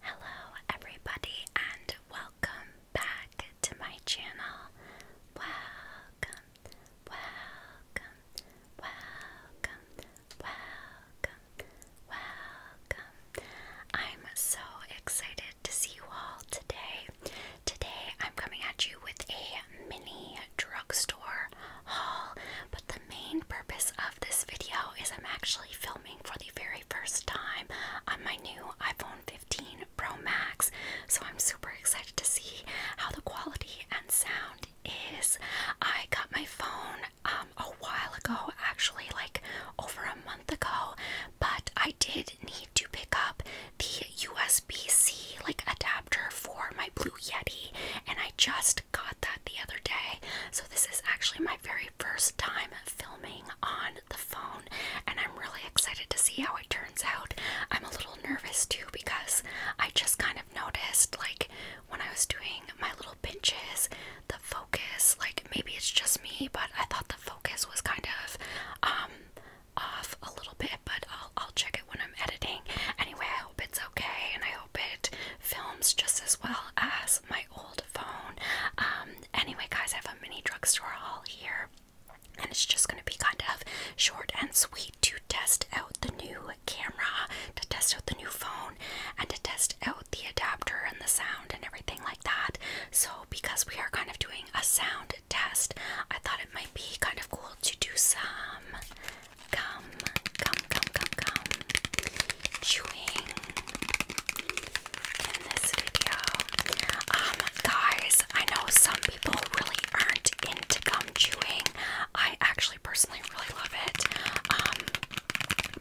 Hello, everybody, and welcome back to my channel. Welcome, welcome, welcome, welcome, welcome. I'm so excited to see you all today. Today I'm coming at you with a mini drugstore haul, but the main purpose of this video is I'm actually filming for the very first time on my new iPhone 15 Pro Max, so I'm super excited to see how the quality and sound is. I got my phone um, a while ago, actually, like over a month ago, but I did need to pick up the USB-C like adapter for my Blue Yeti, and I just got that the other day. So this is actually my very first time filming on the phone, and I'm really excited to see how it turns out. I'm a little nervous too because I just kind of noticed like when I was doing my little pinches, the focus, like maybe it's just me, but I thought the focus was kind of um off a little bit, but I'll I'll check it when I'm editing. Anyway, I hope it's okay, and I hope it films just as well as my old phone. Um, anyway, guys, I have a mini drugstore haul here, and it's just gonna be kind of short and sweet to test out the new camera, to test out the new phone, and to test out the adapter and the sound and everything like that. So because we are kind of doing a sound test. I thought it might be kind of cool to do some gum, gum, gum, gum, gum chewing in this video. Um, guys, I know some people really aren't into gum chewing. I actually personally really love it. Um,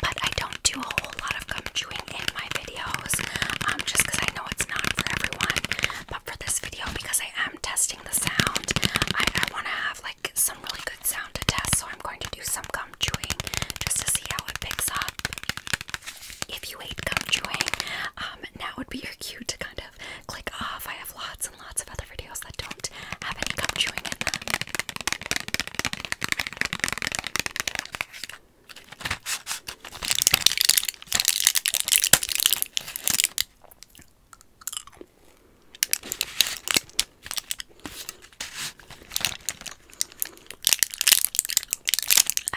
but I don't do a whole lot of gum chewing in my videos um, just because I know it's not for everyone. But for this video, because I am testing the sound, I, want to have like some really good sound to test. So I'm going to do some gum chewing just to see how it picks up. If you hate gum chewing, um, now would be your cue to kind of click off. I have lots and lots of other videos that don't have any gum chewing in them. I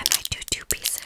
might do two pieces.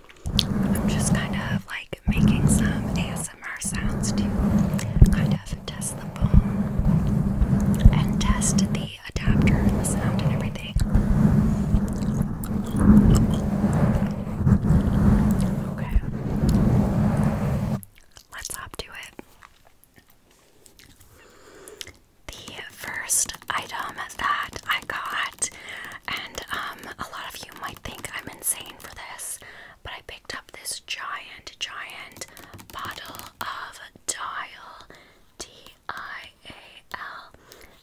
I'm just kind of like making some ASMR sounds to kind of test the phone and test the adapter and the sound and everything. Okay. Let's hop to it. The first item that I got and um, a lot of you might think I'm insane for this, but I picked up this giant, giant bottle of Dial, D I A L,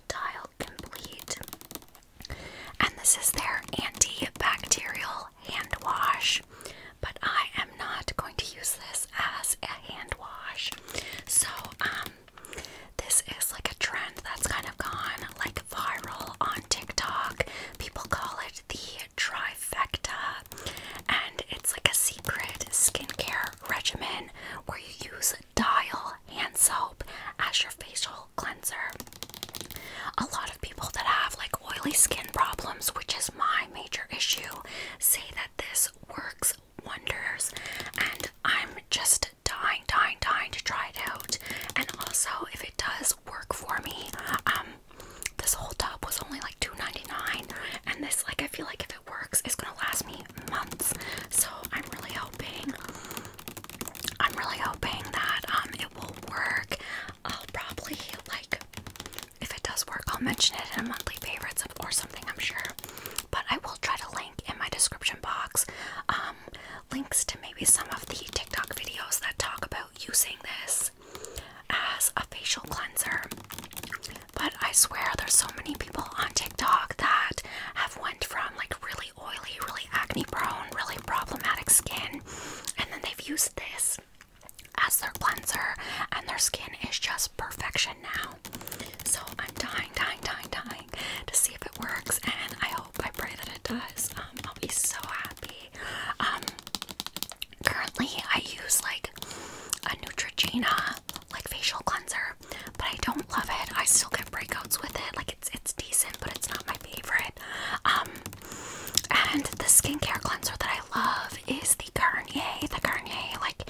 Dial Complete. And this is their antibacterial hand wash, but I am not going to use this as a hand wash. So, um, this is like a trend that's kind of gone like viral on TikTok. People call it the trifecta, and it's like a secret skincare regimen where you use Dial hand soap as your facial cleanser. A lot of people that have like oily skin problems, which is my major issue, say that this works wonders, and I'm just dying, dying, dying to try it out. And also, if it does work for me, um, this whole tub was only like $2.99, and this, like, I feel like if it works, it's gonna last me months. So I'm really hoping, I'm really hoping that um, it will work. I'll probably like, if it does work, I'll mention it in a monthly favorites or something. I'm sure, but I will try to link in my description box. Um, links to maybe some of the TikTok videos that talk about using this as a facial cleanser. But I swear there's so many people on TikTok that have went from like really oily, really acne prone, really problematic skin and then they've used this as their cleanser and their skin is just perfection now. So I'm dying, dying, dying, dying to see if it works and I hope I pray that it does. Um, I'll be so happy. Um, currently I use like a Neutrogena like facial cleanser, but I don't love it. I still get breakouts with it. Like it's it's decent, but it's not my favorite. Um, and the skincare cleanser that I love is the Garnier, the Garnier like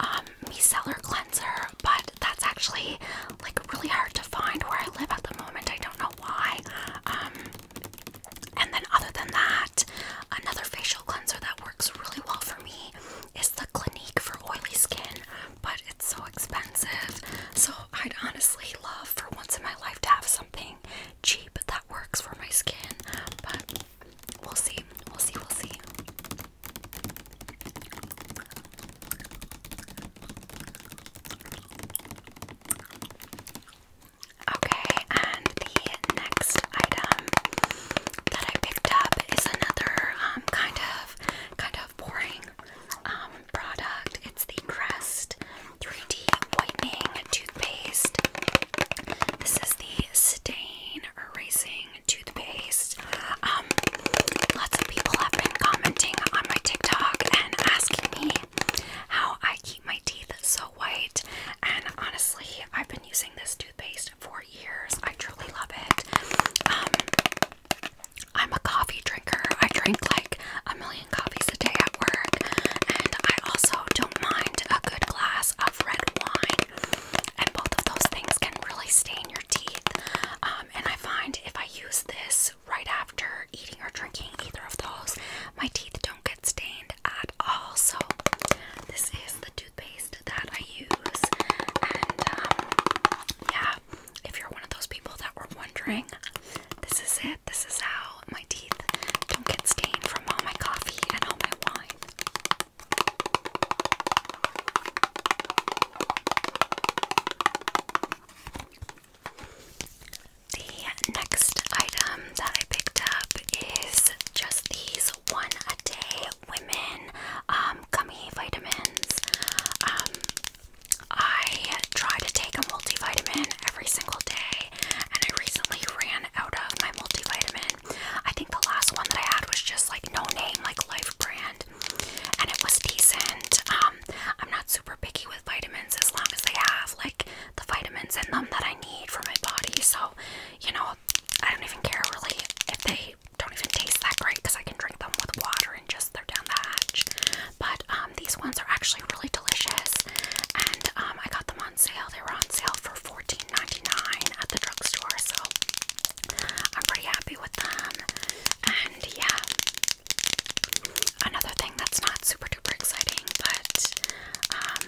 um micellar cleanser, but that's actually like really hard to find where I live at the moment. I don't know why. Um, and then other than that, another facial cleanser that works really well for me is the Clinique for oily skin, but it's so expensive. So I'd honestly love for once in my life to have something cheap that works for my skin, but we'll see. We'll see, we'll see. Okay, and the next item that I picked up is another um, kind of kind of boring um, product. It's the Crest 3D Whitening Toothpaste. This is the Stain Erasing Toothpaste. Um, lots of people have been commenting on my TikTok and asking me how I keep my teeth so white. And honestly, I've been using this toothpaste for years. I truly love it. Um, I'm a coffee drinker. I drink like a million coffees a day at work, and I also don't mind a good glass of red wine. And both of those things can really stain your teeth. Um, and I find if I use this right after eating or drinking either of those. My teeth don't get stained at all. So, this is the toothpaste that I use. And um, yeah, if you're one of those people that were wondering, this is it. This is how my teeth don't get stained from all my coffee and all my wine. The next item that I picked up is just these one a day women um, gummy vitamins. Um, I try to take a multivitamin every single day, and I recently ran out of my multivitamin. I think the last one that I had was just like no name, like Life brand, and it was decent. Um, I'm not super picky with vitamins as long as they have like the vitamins in them that I need for my body. So, you know, I don't even care really if they don't even taste that great because I can drink them with water and just they're down the hatch. But um, these ones are actually really delicious, and um, I got them on sale. They were on sale for $14.99 at the drugstore, so I'm pretty happy with them. And yeah, another thing that's not super duper exciting, but um,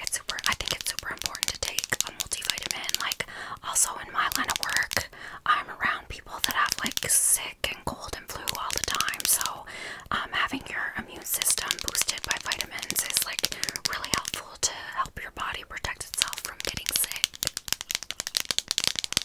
it's super. I think it's super important to take a multivitamin. Like, also in my line of work, I'm around people that have like sick and cold and flu all the time. So, um, having your immune system boosted by vitamins is like really helpful to help your body protect itself from getting sick.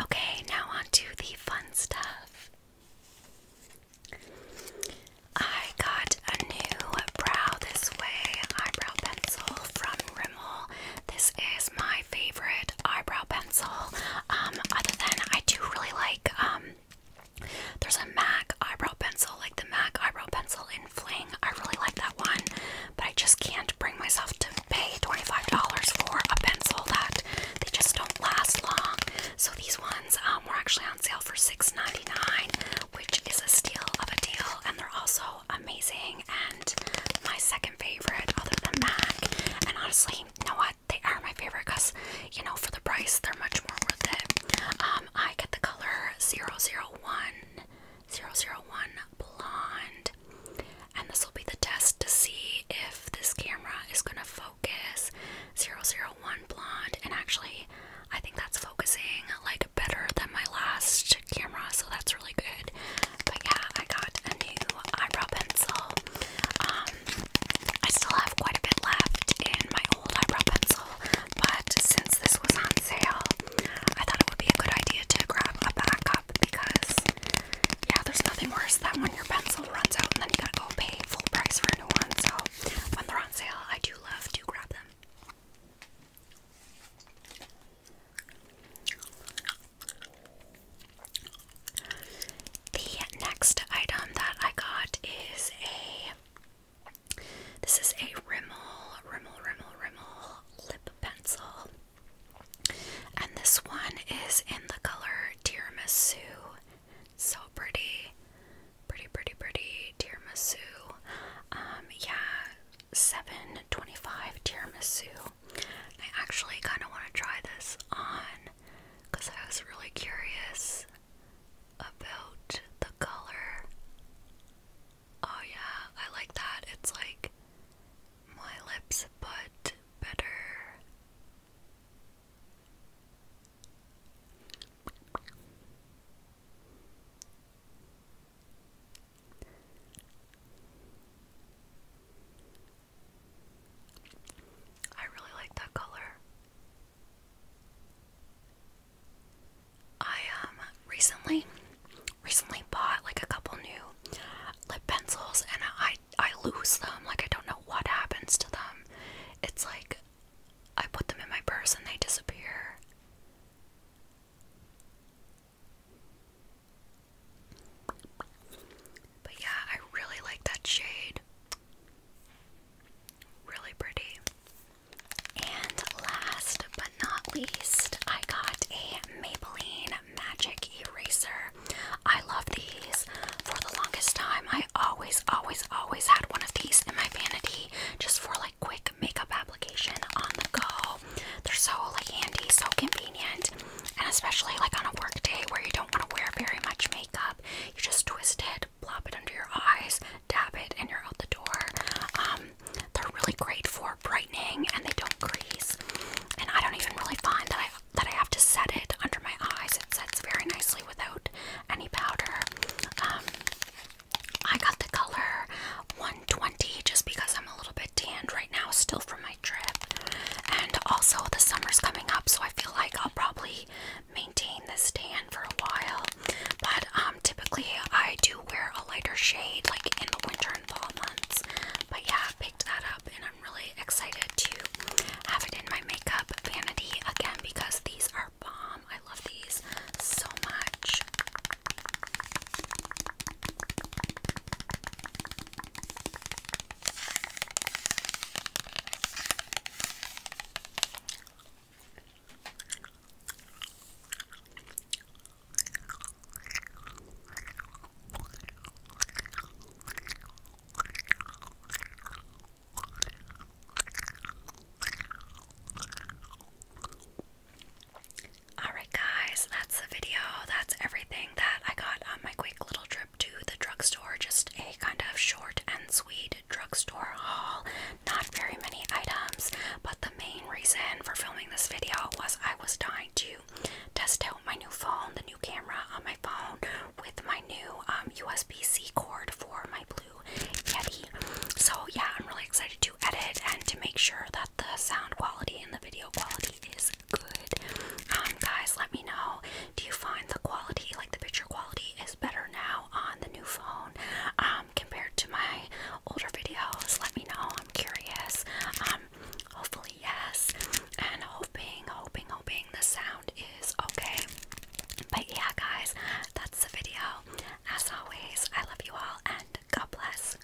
Okay, now on to the fun stuff. I got a new brow this way eyebrow pencil from Rimmel. This is my favorite eyebrow pencil. Um, other than I do really like um there's a MAC eyebrow pencil, like the MAC eyebrow pencil in Fling. I really like that one, but I just can't bring myself to pay $25 for a pencil that they just don't last long. So these ones um, were actually on sale for $6.99, which is a steal of a deal, and they're also amazing and my second favorite other than MAC. And honestly, you know what? they are my favorite because you know for the price they're much more worth it. Um, I get the color 001 blonde, and this will be the test to see if this camera is gonna focus 001 blonde. And actually, I think that's focusing like better than my last camera, so that's really good. But yeah, I got a new eyebrow pencil. Um, I still have quite a bit left in my old eyebrow pencil, but since this was on sale, I thought it would be a good idea to grab a backup because, yeah, there's nothing worse than when your pencil runs out and then you gotta go pay full price for a new one. So when they're on sale, I do love to grab them. The next item that I got is a this is a Rimmel, Rimmel, Rimmel, Rimmel lip pencil. And this one is in the color Tiramisu. So pretty. Pretty, pretty, pretty Tiramisu. Um, yeah, 725 Tiramisu. I actually kind of want to try this on because I was really curious about the color. Oh, yeah, I like that. It's like my lips, but better. I really like that color. I um recently recently bought like a couple new lip pencils and I I lose them like I don't know what happens to them. It's like I put them in my purse and they disappear. But yeah, I really like that shade. Really pretty. And last but not least, I got a Maybelline Magic Eraser. I love these. For the longest time, I always, always, always had one of these in my vanity just for like quick makeup application on the go. They're so like handy, so convenient, and especially like on a work day where you don't want to wear very much makeup. You just twist it, plop it under your eyes, dab it, and you're out the door. Um, they're really great for brightening, and they don't crease. And I don't even really find that I that I have to set it under my eyes. It sets very nicely without any powder. Um, I got the color 120 just because I'm a little bit tanned right now, still from my trip. And also the summer's coming up, so I feel like I'll probably. Maybe this tan for a while, but um, typically I do wear a lighter shade like in the winter and fall months. But yeah, I picked that up and I'm really excited to have it in my makeup vanity again because these are bomb. I love these so much. All right, guys, that's the video. That's everything that I got on my quick little trip to the drugstore, just a kind of short and sweet drugstore haul. Not very many items, but the main reason for filming this video was I was dying to test out my new phone, the new camera on my phone, with my new USB um, C cord for my blue Yeti. So, yeah, I'm really excited to edit and to make sure that the sound quality and the video quality is good. Um, guys, let me know do you find the quality, like the picture quality, is better now on the new phone um, compared to my older videos? Let me know. I'm curious. Um, hopefully, yes. And hoping, hoping, hoping the sound is okay. But yeah, guys, that's the video. As always, I love you all and God bless.